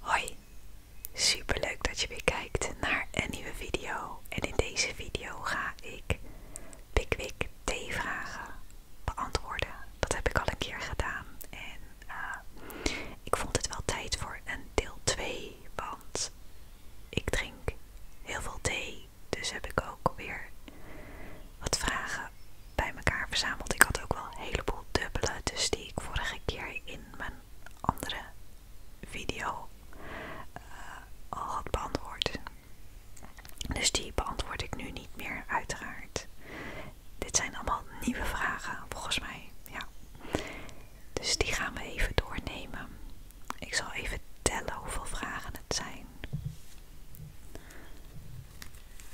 Hoi, super leuk dat je weer kijkt naar een nieuwe video. En in deze video ga ik Pickwick thee vragen beantwoorden. Dat heb ik al een keer gedaan. En eh, ik vond het wel tijd voor een deel 2, want ik drink heel veel thee. Dus heb ik ook weer wat vragen bij elkaar verzameld. Ik had ook wel een heleboel dubbele, dus die ik vorige keer in mijn andere video eh, al had beantwoord. Dus die beantwoord ik nu niet meer, uiteraard. Dit zijn allemaal nieuwe vragen, volgens mij. Ja. Dus die gaan we even doornemen. Ik zal even tellen hoeveel vragen het zijn.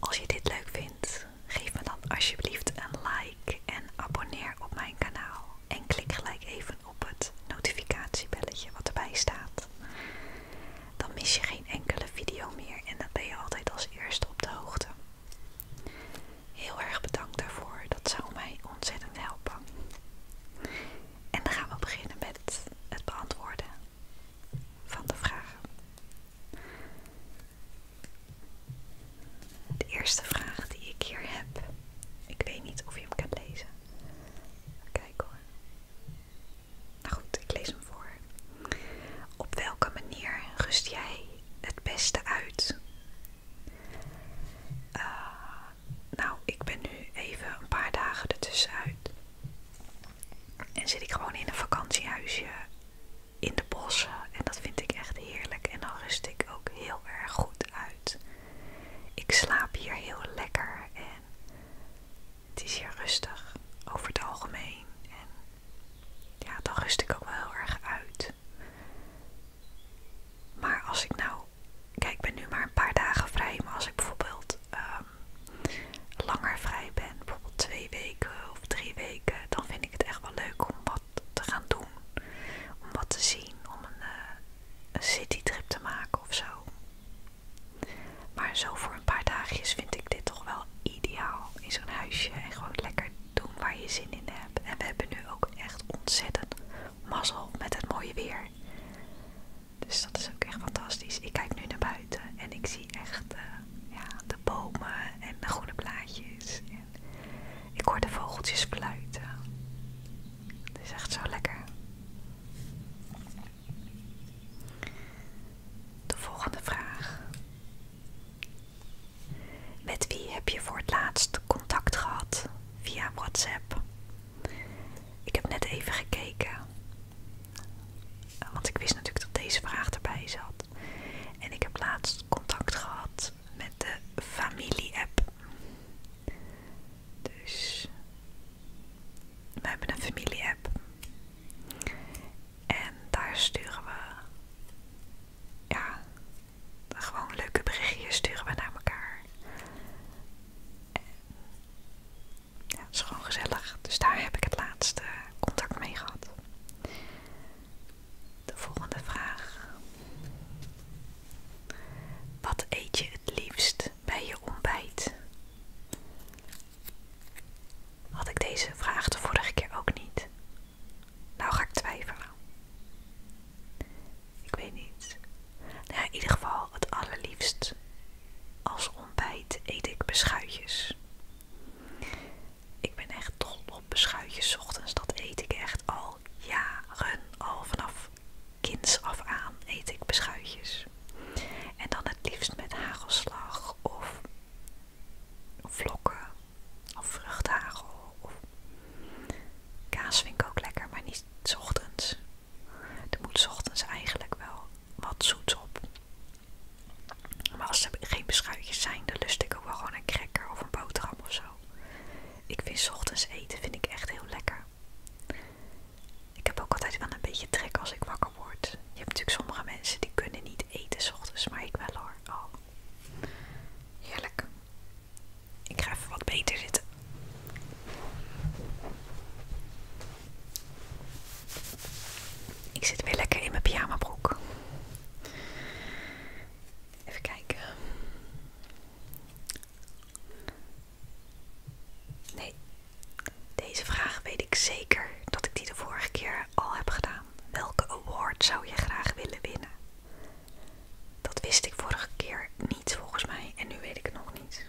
Als je dit leuk vindt, geef me dan alsjeblieft een like en abonneer op mijn kanaal. En klik gelijk even op het notificatiebelletje wat erbij staat. Dan mis je geen enkele video meer en dan ben je altijd als eerste op de hoogte. Heel erg bedankt daarvoor, dat zou mij ontzettend helpen. En dan gaan we beginnen met het beantwoorden van de vragen. De eerste vraag die ik hier heb, ik weet niet of je hem kan lezen. Kijk hoor. Nou goed, ik lees hem voor. Op welke manier rust jij het beste uit eh, nou, ik ben nu even een paar dagen ertussenuit. En zit ik gewoon in een vakantiehuisje in de bossen. En dat vind ik echt heerlijk. En dan rust ik ook heel erg goed uit. Ik slaap hier heel lekker en het is hier rustig over het algemeen. En ja, dan rust ik ook wel heel erg uit. Maar als ik nou Kijk, ik ben nu maar een paar dagen vrij, maar als ik bijvoorbeeld ehm, langer vrij ben, bijvoorbeeld twee weken of drie weken, dan vind ik het echt wel leuk om wat te gaan doen. Om wat te zien, om een, city eh, een citytrip te maken of zo. Maar zo voor een paar dagjes vind ik dit toch wel ideaal in zo'n huisje en gewoon lekker doen waar je zin in hebt. En we hebben nu ook echt ontzettend mazzel met het mooie weer. Dus dat is ook echt fantastisch. Ik kijk nu naar buiten en ik zie echt eh, de bomen en de groene blaadjes. ik hoor de vogeltjes fluiten. Het is echt zo lekker. De volgende vraag. Met wie heb je voor het laatst contact gehad via WhatsApp ik heb net even gekeken. Want ik wist natuurlijk dat deze vraag erbij zat. En ik heb laatst contact gehad met de familie-app. Dus we hebben een familie-app. En daar sturen we ja, gewoon leuke berichtjes sturen we naar elkaar. ja, is gewoon gezellig. Dus daar heb ik het laatste contact mee gehad. De volgende vraag. Wat eet je het liefst bij je ontbijt? Had ik deze vraag de vorige keer ook niet? Nou ga ik twijfelen. Ik weet niet. Nou in ieder geval het allerliefst. Als ontbijt eet ik beschuitjes. Ik ben echt dol op beschuitjes ochtends. Dat eet ik echt al jaren. Al vanaf kinds af aan eet ik beschuitjes. En dan het liefst met hagelslag of vlokken of vruchthagel. Of Kaas vind ik ook lekker, maar niet s ochtends. Er moet s ochtends eigenlijk wel wat zoets op. Maar als er geen beschuitjes zijn, dan lust ik ook wel gewoon een cracker of een boterham of zo. Ik vind s ochtends eten vind ik echt heel lekker. Ik heb ook altijd wel een beetje trek als ik wakker word. Je hebt natuurlijk sommige mensen die kunnen niet eten s ochtends, maar ik wel hoor. Oh. Heerlijk. Ik ga even wat beter zitten. Ik zit weer lekker in mijn pyjamabroek. Even kijken. Nee, deze vraag weet ik zeker dat ik die de vorige keer al heb gedaan. Welke award zou je graag willen winnen? Dat wist ik vorige keer niet volgens mij en nu weet ik nog niet.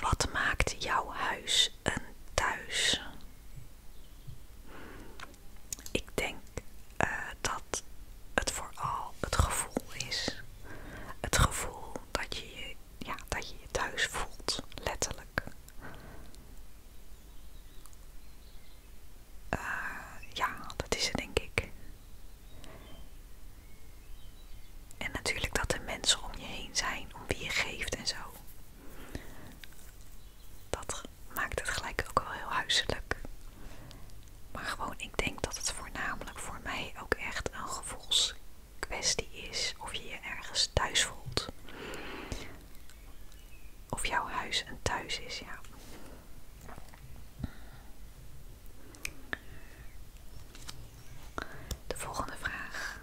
Wat maakt jouw huis een thuis? Ik denk eh, dat het vooral het gevoel is. Het gevoel dat je je, ja, dat je, je thuis voelt, letterlijk. Eh, ja, dat is het denk ik. En natuurlijk dat de mensen om je heen zijn, om wie je geeft en zo. Dat maakt het gelijk ook wel heel huiselijk. Maar gewoon, ik denk dat het voornamelijk voor mij ook echt een gevoelskwestie is. Of je je ergens thuis voelt of jouw huis een thuis is, ja. De volgende vraag.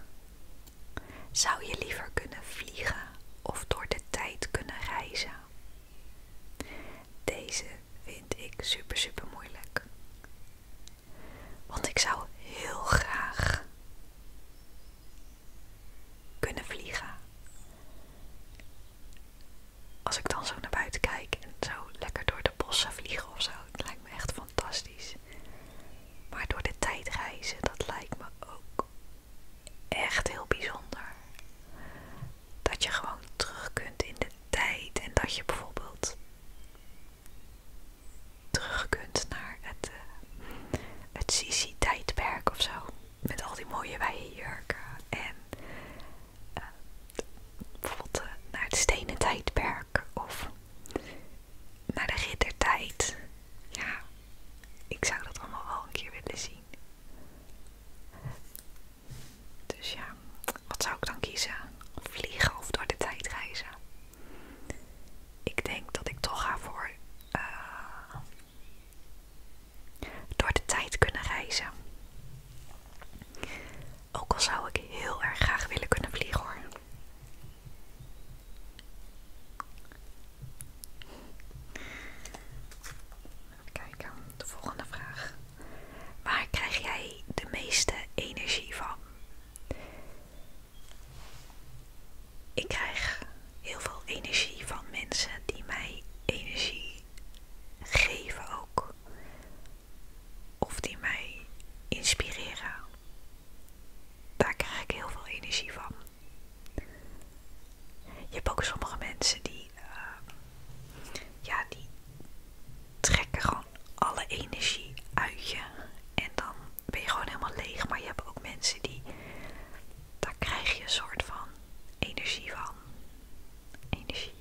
Zou je liever kunnen vliegen of door de tijd kunnen reizen? Deze vind ik super, super moeilijk. Want ik zou heel graag kunnen vliegen. Als ik dan zo naar buiten kijk en zo lekker door de bossen vliegen of zo, lijkt me echt fantastisch. Maar door de tijd reizen, dat lijkt me ook echt heel bijzonder. Dat je gewoon terug kunt in de tijd en dat je bijvoorbeeld terug kunt naar het, eh, het Sisi-tijdperk of zo met al die mooie wijde jurken. En eh, bijvoorbeeld eh, naar het stenen tijdperk of naar de riddertijd. Ja, ik zou dat allemaal wel een keer willen zien. Dus ja, wat zou ik dan kiezen? Vliegen of door de tijd reizen? Ik denk dat ik toch ga voor eh, door de tijd kunnen reizen. Ook al zou ik heel erg graag willen kunnen vliegen hoor. Even kijken, de volgende vraag. Waar krijg jij de meeste energie van? Ik krijg heel veel energie van mensen die mij energie geven ook. Of die mij inspireren. Daar krijg ik heel veel energie van. Je hebt ook sommige mensen die, eh, ja, die trekken gewoon alle energie uit je. En dan ben je gewoon helemaal leeg. Maar je hebt ook mensen die, daar krijg je een soort van energie van energie.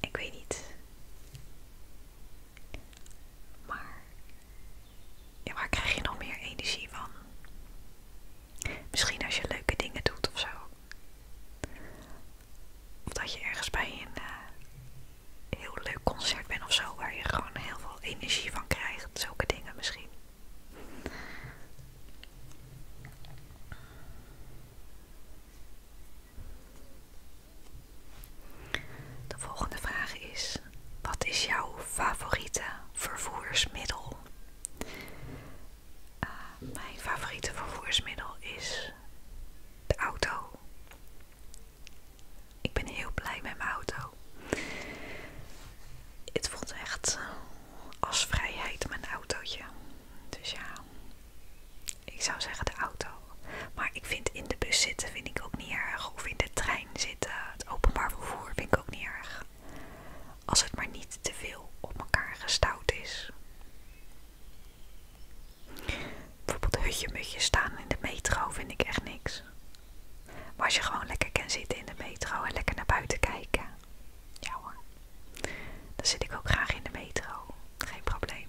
Ik weet niet. Maar ja, waar krijg je nog meer energie van? Misschien als je leuke dingen doet of zo. Of dat je ergens bij een eh, heel leuk concert bent of zo, waar je gewoon heel veel energie van krijgt. Zulke dingen misschien. De volgende vraag is: wat is jouw favoriete vervoersmiddel? Eh, mijn favoriete vervoersmiddel is de auto. Ik ben heel blij met mijn auto. Het voelt echt eh, als vrijheid om een autootje. Dus ja, ik zou zeggen de auto. Maar ik vind in de bus zitten vind ik ook niet erg. Of in de trein zitten, het openbaar vervoer vind ik ook niet erg. Als het maar niet te veel op elkaar gestouwd is. Bijvoorbeeld hutje mutje staan in de metro vind ik echt niks. Maar als je gewoon lekker kan zitten in de metro en lekker naar buiten kijken, ja hoor, dan zit ik ook graag in de metro. Geen probleem.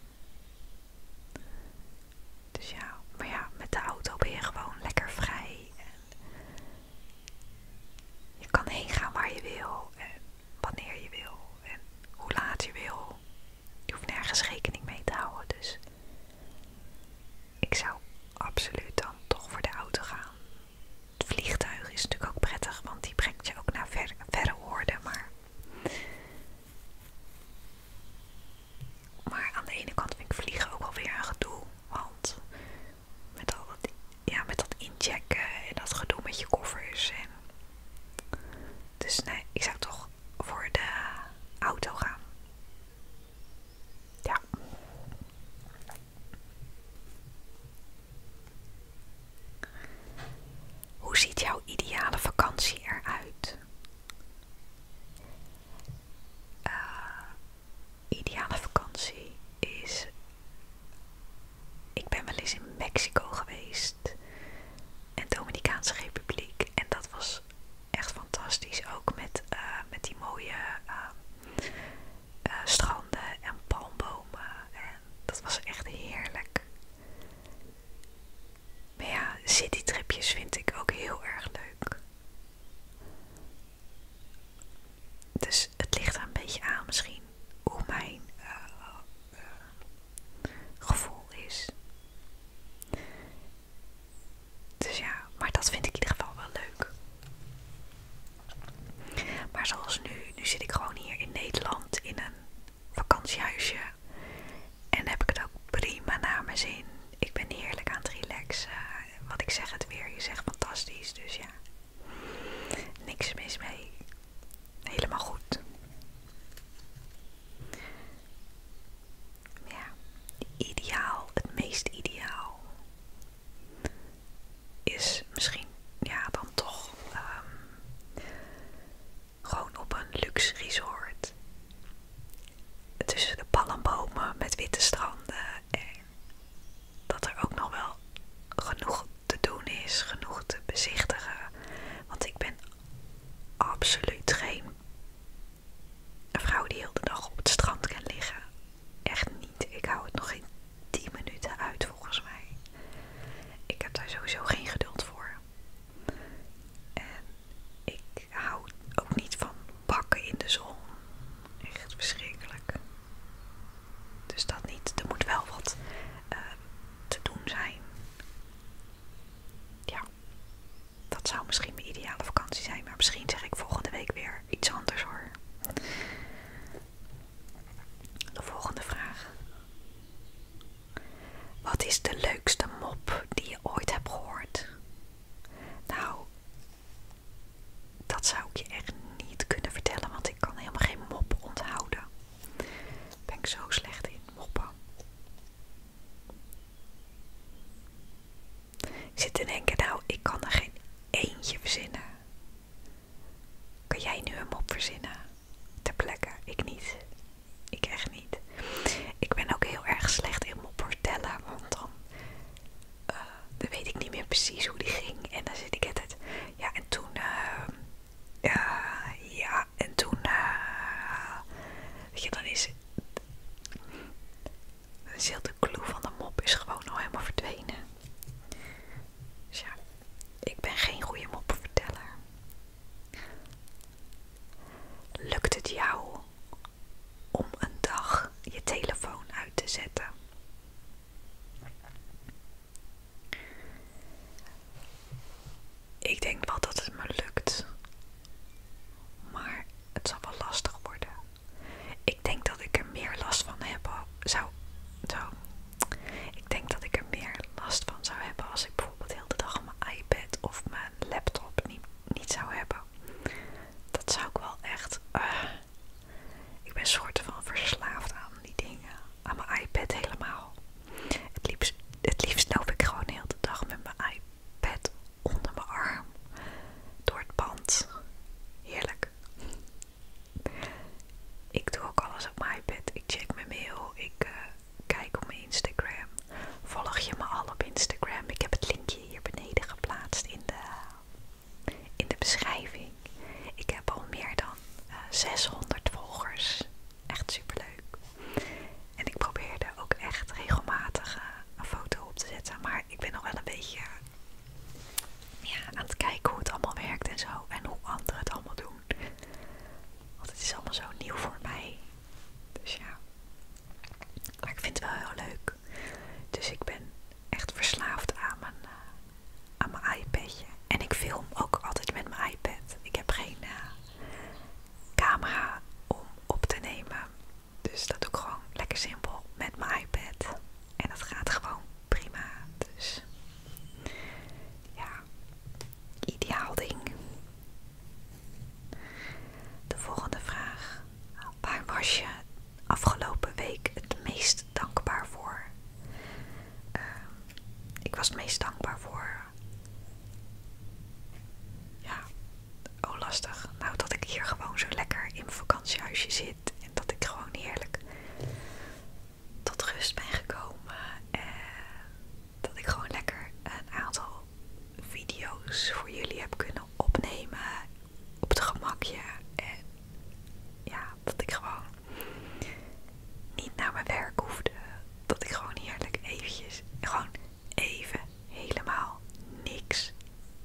Dus ja, maar ja, met de auto ben je gewoon lekker vrij. je kan heen gaan waar je wil en wanneer je wil en hoe laat je wil. Je hoeft nergens rekening mee te houden. Dus ik zou absoluut dan toch voor de auto gaan. Het vliegtuig is natuurlijk ook prettig, want die brengt je ook naar verre woorden. Maar... maar aan de ene kant vind ik vliegen ook wel weer een gedoe. Want met, al dat, ja, met dat inchecken en dat gedoe met je koffers. Dus nee, ik zou toch voor de auto gaan. Ja. Hoe ziet jouw ideale vakantie eruit? Eh, ideale vakantie is. Ik ben wel eens in Mexico geweest en Dominicaanse Republiek en dat was echt fantastisch. Ook met, eh, met die mooie eh, eh, stranden en palmbomen. En dat was echt heerlijk. Maar ja, citytripjes vind ik ook heel erg leuk. Dus het ligt een beetje aan misschien hoe mijn eh, eh, gevoel is. Dus ja, maar dat vind ik in ieder geval wel leuk. Maar zoals nu, nu zit ik gewoon hier in Nederland in een vakantiehuisje. En heb ik het ook prima naar mijn zin. Ik ben heerlijk aan het relaxen. Wat ik zeg, het weer. Je zegt fantastisch. Dus ja, niks mis mee. Helemaal goed. Ja, ideaal. Het meest ideaal is misschien ja dan toch ehm, gewoon op een luxe resort tussen de palmbomen met witte stranden en dat er ook nog wel genoeg te doen is, genoeg te bezichtigen, want ik ben absoluut geen vrouw die heel de dag op het strand kan liggen echt niet. Ik hou het nog geen 10 minuten uit volgens mij. Ik heb daar sowieso geen geduld voor. En ik hou ook niet van bakken in de zon. Echt verschrikkelijk. Dus dat niet. Er moet wel wat eh, te doen zijn. Ja, dat zou misschien mijn ideale vakantie zijn. Maar misschien zeg ik volgende week weer iets anders hoor. De volgende vraag. Wat is de leukste mop die je ooit hebt gehoord? Nou, dat zou ik je echt niet kunnen vertellen, want ik kan helemaal geen mop onthouden. Ik ben ik zo slecht in, moppen. Ik zit te denken, nou, ik kan er geen eentje verzinnen. Kan jij nu een mop verzinnen? Ter plekke. Ik niet. Ik echt niet. Ik ben ook heel erg slecht in mop vertellen. Want eh, dan, weet ik niet meer precies hoe die ging. En dan zit ik het. Ja, en toen... Eh, eh, ja, en toen... weet je, dan is... Dan is heel de clue van de mop is gewoon al helemaal verdwenen ja, ik ben geen goede moppenverteller. Lukt het jou om een dag je telefoon uit te zetten? Ik denk wel dat het me lukt, maar het zal wel lastig worden. Ik denk dat ik er meer last van heb, zou, Ik denk dat ik er meer last van zou hebben als ik bijvoorbeeld heel de dag mijn iPad of mijn laptop niet, zou hebben. Dat zou ik wel echt. Eh, ik ben soort van verslaafd aan die dingen. Aan mijn iPad helemaal. Het liefst, het liefst loop ik gewoon heel de dag met mijn iPad onder mijn arm. Door het pand. Heerlijk. Ik doe ook alles op mijn iPad. Ik check mijn mail. Ik eh, kijk op mijn Instagram. Volg je me al op Instagram? Ik heb het linkje hier beneden geplaatst in de, in de beschrijving. Ik heb al meer dan 600 eh, volgers. Echt super leuk. En ik probeerde ook echt regelmatig eh, een foto op te zetten. Maar ik ben nog wel een beetje ja, aan het kijken hoe het allemaal werkt en zo. En hoe anderen het allemaal doen. Want het is allemaal zo nieuw voor mij. Dus ja. Maar ik vind het wel heel leuk. Dus ik ben echt verslaafd aan mijn, eh, aan mijn iPadje. En ik film ook altijd met mijn iPad. Ik heb geen eh, camera om op te nemen. Dus dat doe ik gewoon lekker simpel met mijn iPad. En dat gaat gewoon prima. Dus ja, ideaal ding. De volgende vraag. Waar was je afgelopen week het meest dankbaar voor? Ehm, ik was het meest dankbaar voor. Ja, oh lastig. Nou, dat ik hier gewoon zo lekker in vakantiehuisje zit en dat ik gewoon heerlijk tot rust ben gekomen en dat ik gewoon lekker een aantal video's voor jullie heb kunnen opnemen op het gemakje en ja, dat ik gewoon niet naar mijn werk hoefde, dat ik gewoon heerlijk eventjes, gewoon even helemaal niks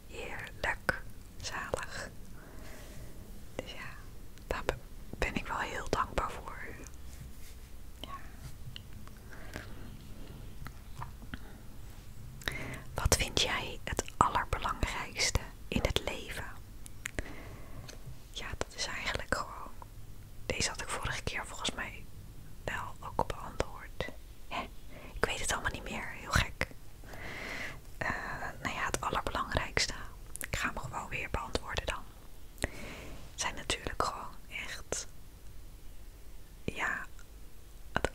heerlijk zalig. Dus ja, daar ben ik wel heel dankbaar voor. Ja. Wat vind jij het allerbelangrijkste in het leven? Ja, dat is eigenlijk gewoon. Deze had ik vorige keer volgens mij wel ook beantwoord. Ik weet het allemaal niet meer, heel gek. Eh, nou ja, het allerbelangrijkste. Ik ga me gewoon weer beantwoorden dan. Zijn natuurlijk gewoon echt. Ja, het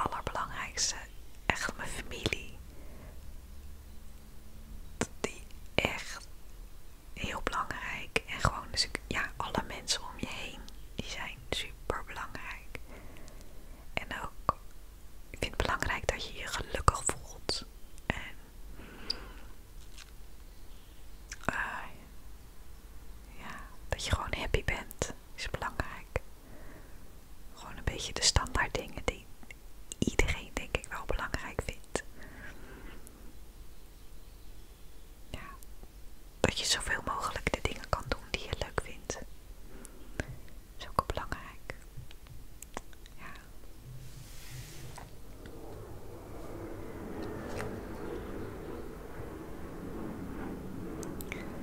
allerbelangrijkste. Echt mijn familie. Die echt heel belangrijk. En gewoon, dus ja, alle mensen om je heen. Die zijn super belangrijk. En ook ik vind het belangrijk dat je je gelukkig voelt. En eh, ja, dat je gewoon happy bent is belangrijk. Gewoon een beetje de standaard dingen die iedereen denk ik wel belangrijk vindt. Ja, dat je zoveel mogelijk de dingen kan doen die je leuk vindt. Zo belangrijk. Ja.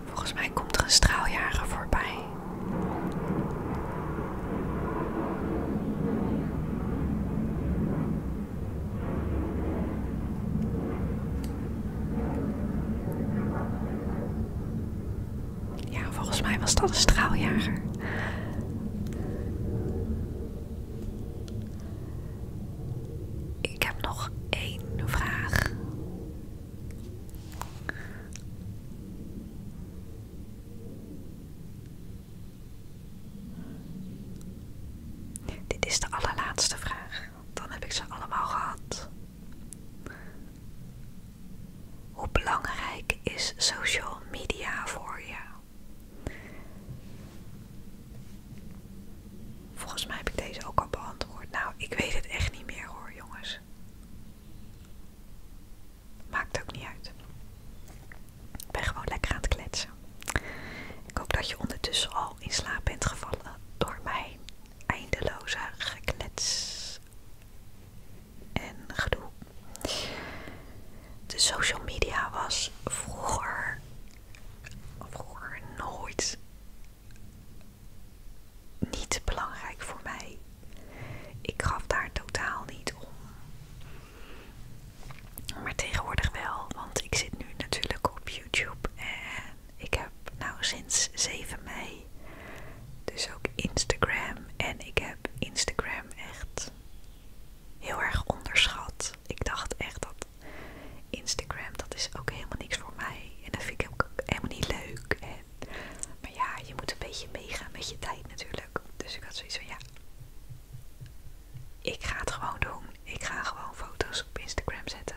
Volgens mij komt er een straaljager voorbij. Ja, volgens mij was dat een straaljager. Ik heb nog één vraag. Dit is de allerlaatste vraag. Dan heb ik ze allemaal gehad. Hoe belangrijk is social media voor jou? Volgens mij heb ik deze ook al beantwoord. Nou, ik weet het echt niet meer hoor, jongens. Maakt ook niet uit. Ik ben gewoon lekker aan het kletsen. Ik hoop dat je ondertussen al in slaap bent gevallen door mijn eindeloze geklets en gedoe. De social media was vroeger, vroeger nooit niet belangrijk voor mij. Ik gaf daar totaal niet om. Maar tegenwoordig wel, want ik zit nu natuurlijk op YouTube en ik heb nou sinds 7 mei dus ook Instagram. En ik heb Instagram echt heel erg onderschat. Ik dacht echt dat Instagram, dat is ook helemaal niks voor mij. En dat vind ik ook helemaal niet leuk. maar ja, je moet een beetje meegaan met je tijd natuurlijk. Dus ik had zoiets van, ja, ik ga het gewoon doen. Ik ga gewoon foto's op Instagram zetten.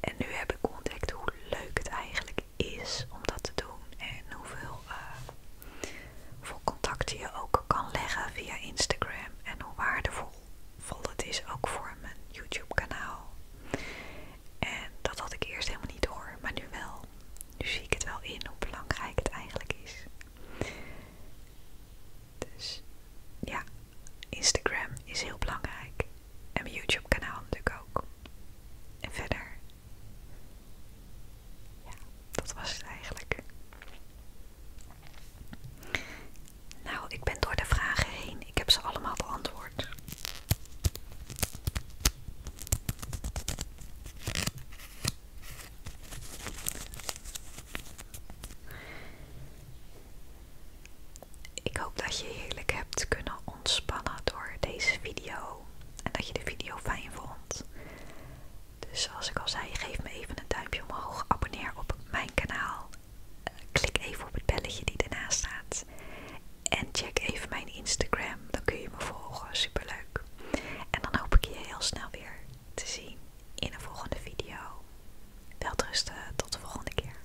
En nu heb ik ontdekt hoe leuk het eigenlijk is om dat te doen en hoeveel, eh, contacten je ook kan leggen via Instagram en hoe waardevol vol het is ook voor mijn YouTube kanaal. En dat had ik eerst helemaal niet door, maar nu wel. Nu zie ik het wel in hoe belangrijk het eigenlijk is. Dus ja, Instagram is heel belangrijk. En mijn YouTube kanaal natuurlijk ook. En verder. Ja, dat was het eigenlijk. Nou, ik ben door de vragen heen. Ik heb ze allemaal beantwoord. Ik hoop dat je heerlijk hebt kunnen ontspannen door deze video en dat je de video fijn vond. Dus zoals ik al zei, geef me even een duimpje omhoog, abonneer op mijn kanaal, eh, klik even op het belletje die ernaast staat en check even mijn Instagram, dan kun je me volgen, Super leuk. En dan hoop ik je heel snel weer te zien in een volgende video. Welterusten, tot de volgende keer.